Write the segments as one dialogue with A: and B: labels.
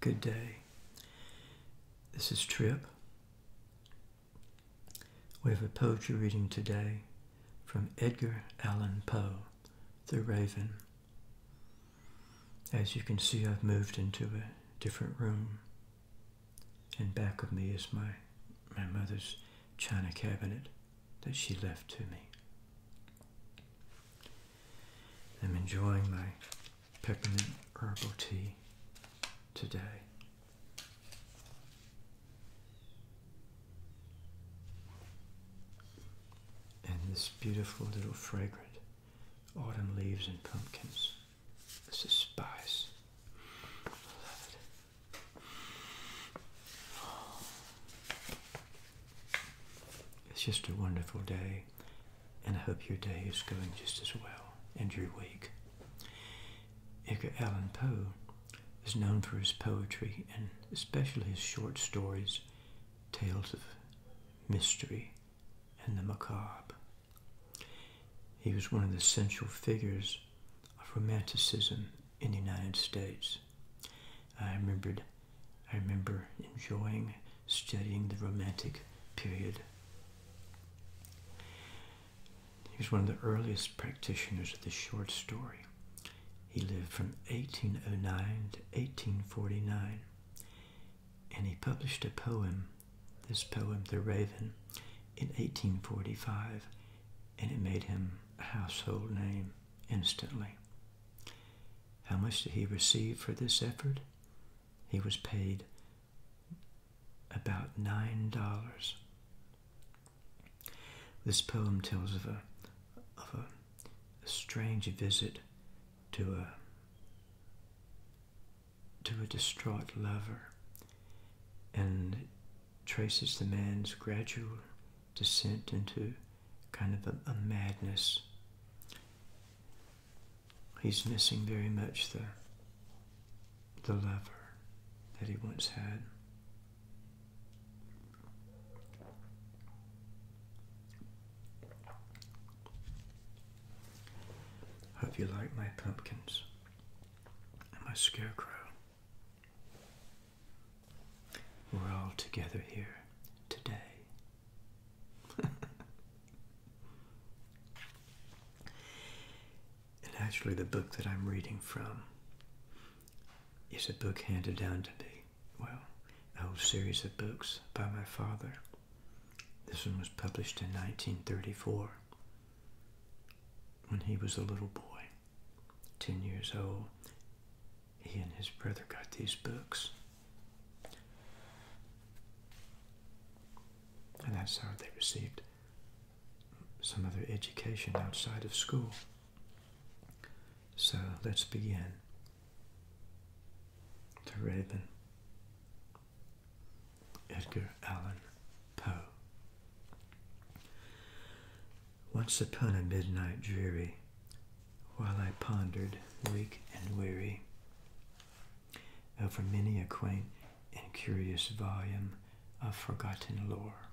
A: Good day. This is Trip. We have a poetry reading today from Edgar Allan Poe, The Raven. As you can see, I've moved into a different room, and back of me is my, my mother's china cabinet that she left to me. I'm enjoying my peppermint herbal tea today. And this beautiful little fragrant autumn leaves and pumpkins. This is spice. I love it. It's just a wonderful day, and I hope your day is going just as well and your week. Edgar Allan Poe is known for his poetry and especially his short stories, tales of mystery and the macabre. He was one of the central figures of Romanticism in the United States. I remembered, I remember enjoying studying the Romantic period. He was one of the earliest practitioners of the short story. He lived from 1809 to 1849, and he published a poem, this poem, The Raven, in 1845, and it made him a household name instantly. How much did he receive for this effort? He was paid about $9. This poem tells of a, of a, strange visit to a to a distraught lover and traces the man's gradual descent into kind of a, a madness. He's missing very much the, the lover that he once had. Hope you like my pumpkins and my scarecrow. We're all together here today. and actually, the book that I'm reading from is a book handed down to me. Well, a whole series of books by my father. This one was published in 1934 when he was a little boy. 10 years old, he and his brother got these books. And that's how they received some other education outside of school. So let's begin. The Raven, Edgar Allan Poe. Once upon a midnight dreary, while I pondered, weak and weary, over many a quaint and curious volume of forgotten lore.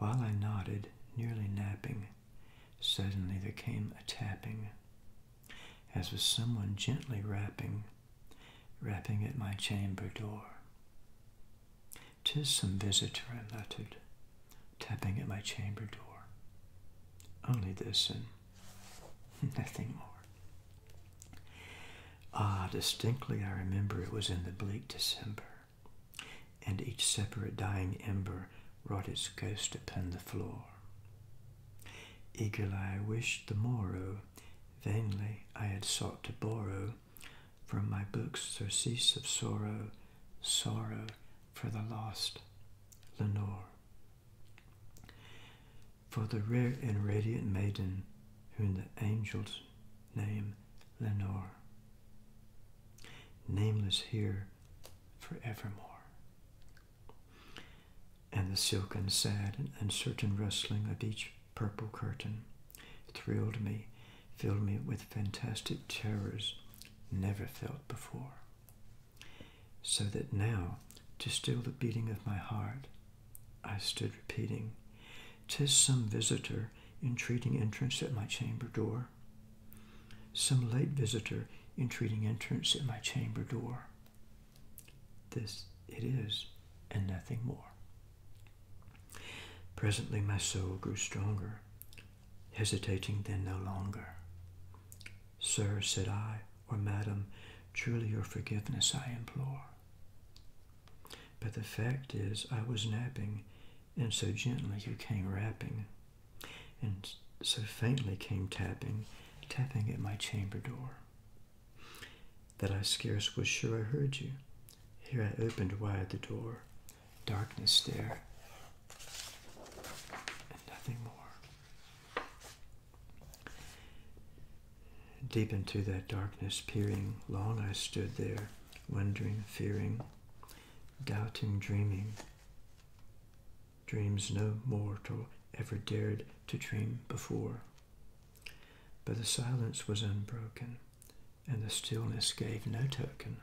A: While I nodded, nearly napping, suddenly there came a tapping, as of someone gently rapping, rapping at my chamber door. Tis some visitor, I muttered, tapping at my chamber door. Only this and nothing more. Ah, distinctly I remember it was in the bleak December, and each separate dying ember wrought its ghost upon the floor. Eagerly I wished the morrow, vainly I had sought to borrow from my books Surcease of Sorrow, Sorrow for the Lost, Lenore. For the rare and radiant maiden, who the angel's name, Lenore, nameless here forevermore. And the silken, sad, and uncertain rustling of each purple curtain thrilled me, filled me with fantastic terrors never felt before. So that now, to still the beating of my heart, I stood repeating, "'Tis some visitor entreating entrance at my chamber door, some late visitor entreating entrance at my chamber door. This it is, and nothing more." Presently my soul grew stronger, hesitating then no longer. Sir, said I, or madam, truly your forgiveness I implore. But the fact is, I was napping, and so gently you came rapping, and so faintly came tapping, tapping at my chamber door that I scarce was sure I heard you. Here I opened wide the door, darkness there, and nothing more. Deep into that darkness, peering, long I stood there, wondering, fearing, doubting, dreaming. Dreams no mortal ever dared to dream before. But the silence was unbroken, and the stillness gave no token.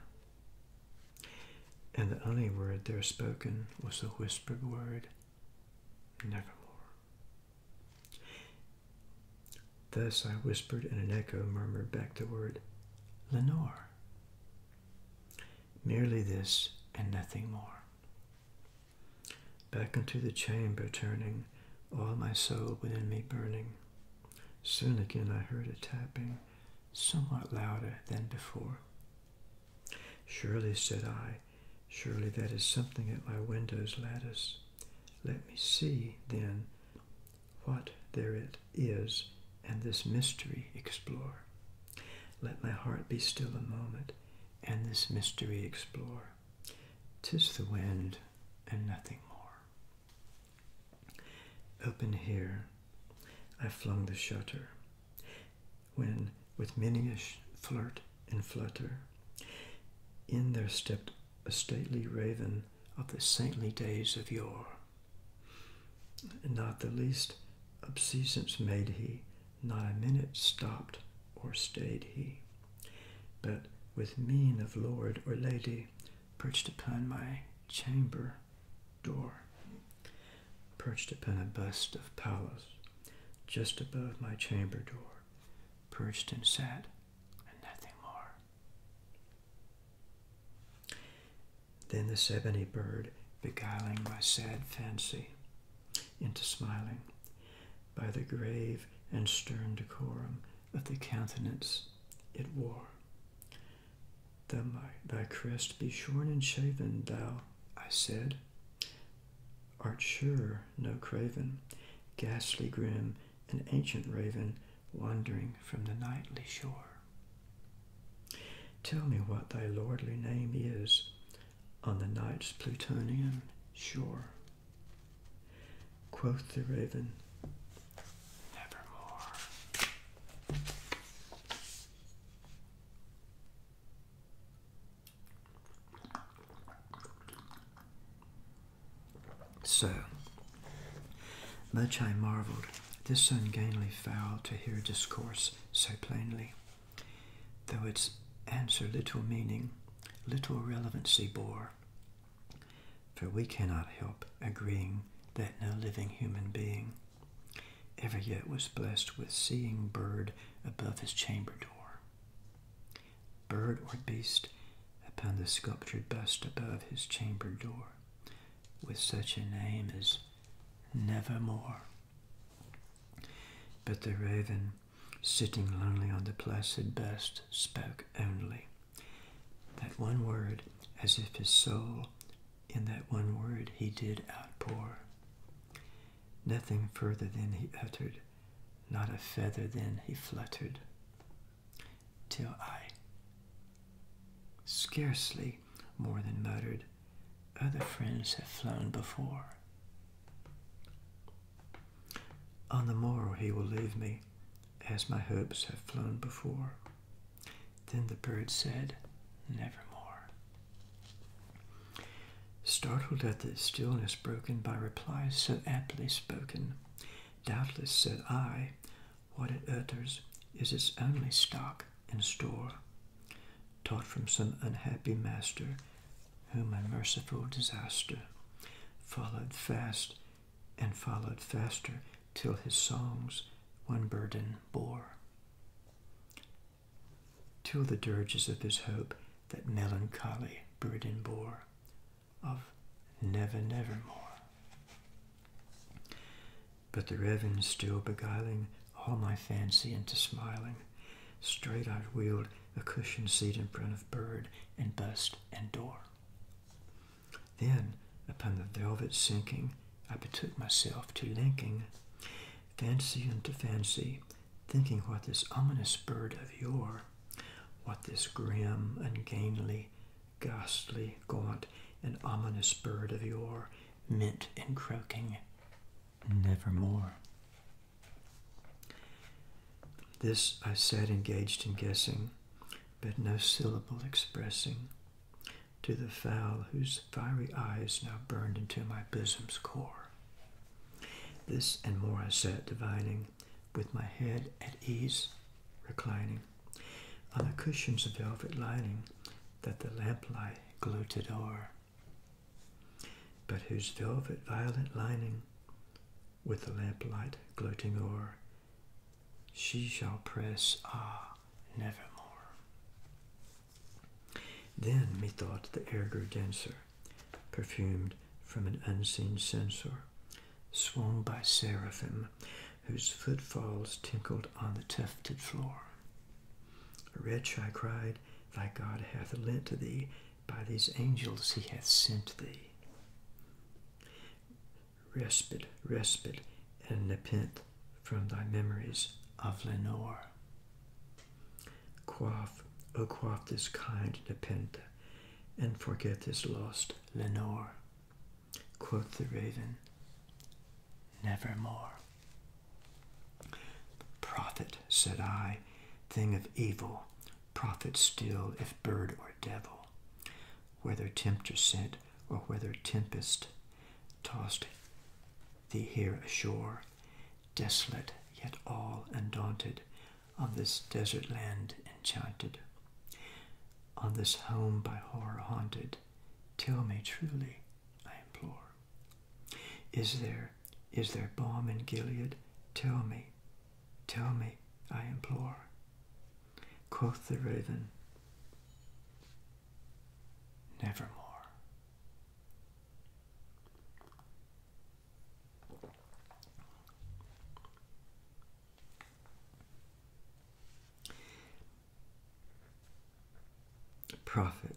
A: And the only word there spoken was the whispered word, Nevermore. Thus I whispered, and an echo murmured back the word, Lenore. Merely this and nothing more. Back into the chamber turning, all my soul within me burning. Soon again I heard a tapping, somewhat louder than before. Surely, said I, surely that is something at my window's lattice. Let me see, then, what there it is, and this mystery explore. Let my heart be still a moment, and this mystery explore. Tis the wind and nothing more. Open here, I flung the shutter, when with many a flirt and flutter, in there stepped a stately raven of the saintly days of yore. Not the least obeisance made he not a minute stopped or stayed he, but with mien of lord or lady perched upon my chamber door, perched upon a bust of Pallas just above my chamber door, perched and sat, and nothing more. Then the Sebony bird beguiling my sad fancy into smiling by the grave and stern decorum of the countenance it wore. Thy, thy crest be shorn and shaven, thou, I said, art sure no craven, ghastly grim, an ancient raven wandering from the nightly shore. Tell me what thy lordly name is, on the night's plutonian shore. Quoth the raven, Nevermore. So, much I marvelled, this ungainly fowl, to hear discourse so plainly though its answer little meaning, little relevancy bore. For we cannot help agreeing that no living human being ever yet was blessed with seeing bird above his chamber door. Bird or beast upon the sculptured bust above his chamber door, with such a name as Nevermore. But the raven, sitting lonely on the placid bust, spoke only. That one word, as if his soul, in that one word, he did outpour. Nothing further than he uttered, not a feather than he fluttered, till I scarcely more than muttered other friends have flown before. On the morrow he will leave me, as my hopes have flown before. Then the bird said, Nevermore. Startled at the stillness broken by replies so aptly spoken, doubtless said I, What it utters is its only stock, in store, taught from some unhappy master, whom unmerciful disaster followed fast and followed faster till his songs one burden bore. Till the dirges of his hope that melancholy burden bore of never, never more. But the reven's still beguiling all my fancy into smiling. Straight I wheeled a cushioned seat in front of bird and bust and door. Then, upon the velvet sinking, I betook myself to linking fancy unto fancy, thinking what this ominous bird of yore, what this grim, ungainly, ghastly, gaunt, and ominous bird of yore mint and croaking nevermore. This I said, engaged in guessing, but no syllable expressing to the fowl whose fiery eyes now burned into my bosom's core. This and more I sat divining, with my head at ease reclining on the cushions of velvet lining that the lamplight gloated o'er, but whose velvet violet lining, with the lamplight gloating o'er, she shall press, ah, nevermore. Then, methought, the air grew denser, perfumed from an unseen censor, swung by seraphim, whose footfalls tinkled on the tufted floor. Wretch, I cried, thy God hath lent to thee, by these angels he hath sent thee. Respite, respite, and repent from thy memories of Lenore. Quaff, O oh, quaff this kind nepenthe, and forget this lost Lenore. Quoth the raven, Nevermore. Prophet, said I, thing of evil, prophet still, if bird or devil, whether tempter sent or whether tempest tossed thee here ashore, desolate yet all undaunted, on this desert land enchanted, on this home by horror haunted, tell me truly, I implore. Is there, is there balm in Gilead? Tell me, tell me, I implore. Quoth the raven, nevermore. Prophet,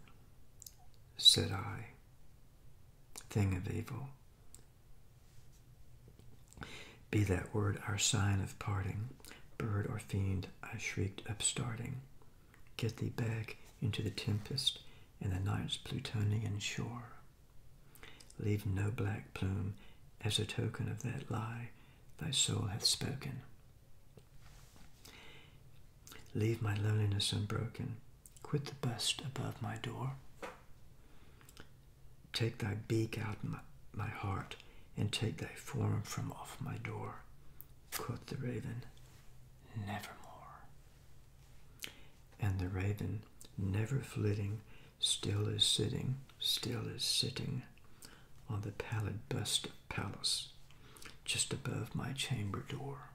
A: said I, thing of evil, be that word our sign of parting, bird or fiend, I shrieked upstarting, get thee back into the tempest and the night's plutonian shore. Leave no black plume as a token of that lie thy soul hath spoken. Leave my loneliness unbroken, quit the bust above my door. Take thy beak out my, my heart, and take thy form from off my door. Quoth the raven, nevermore. And the raven, never flitting, still is sitting, still is sitting on the pallid bust of Pallas, just above my chamber door.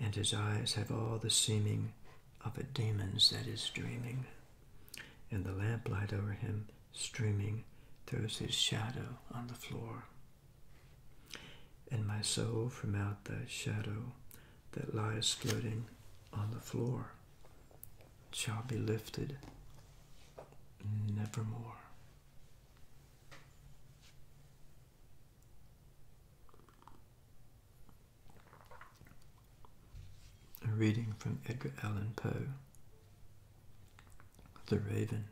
A: And his eyes have all the seeming of a demon's that is dreaming, and the lamplight over him streaming throws his shadow on the floor. And my soul from out the shadow that lies floating on the floor shall be lifted nevermore. A reading from Edgar Allan Poe, The Raven.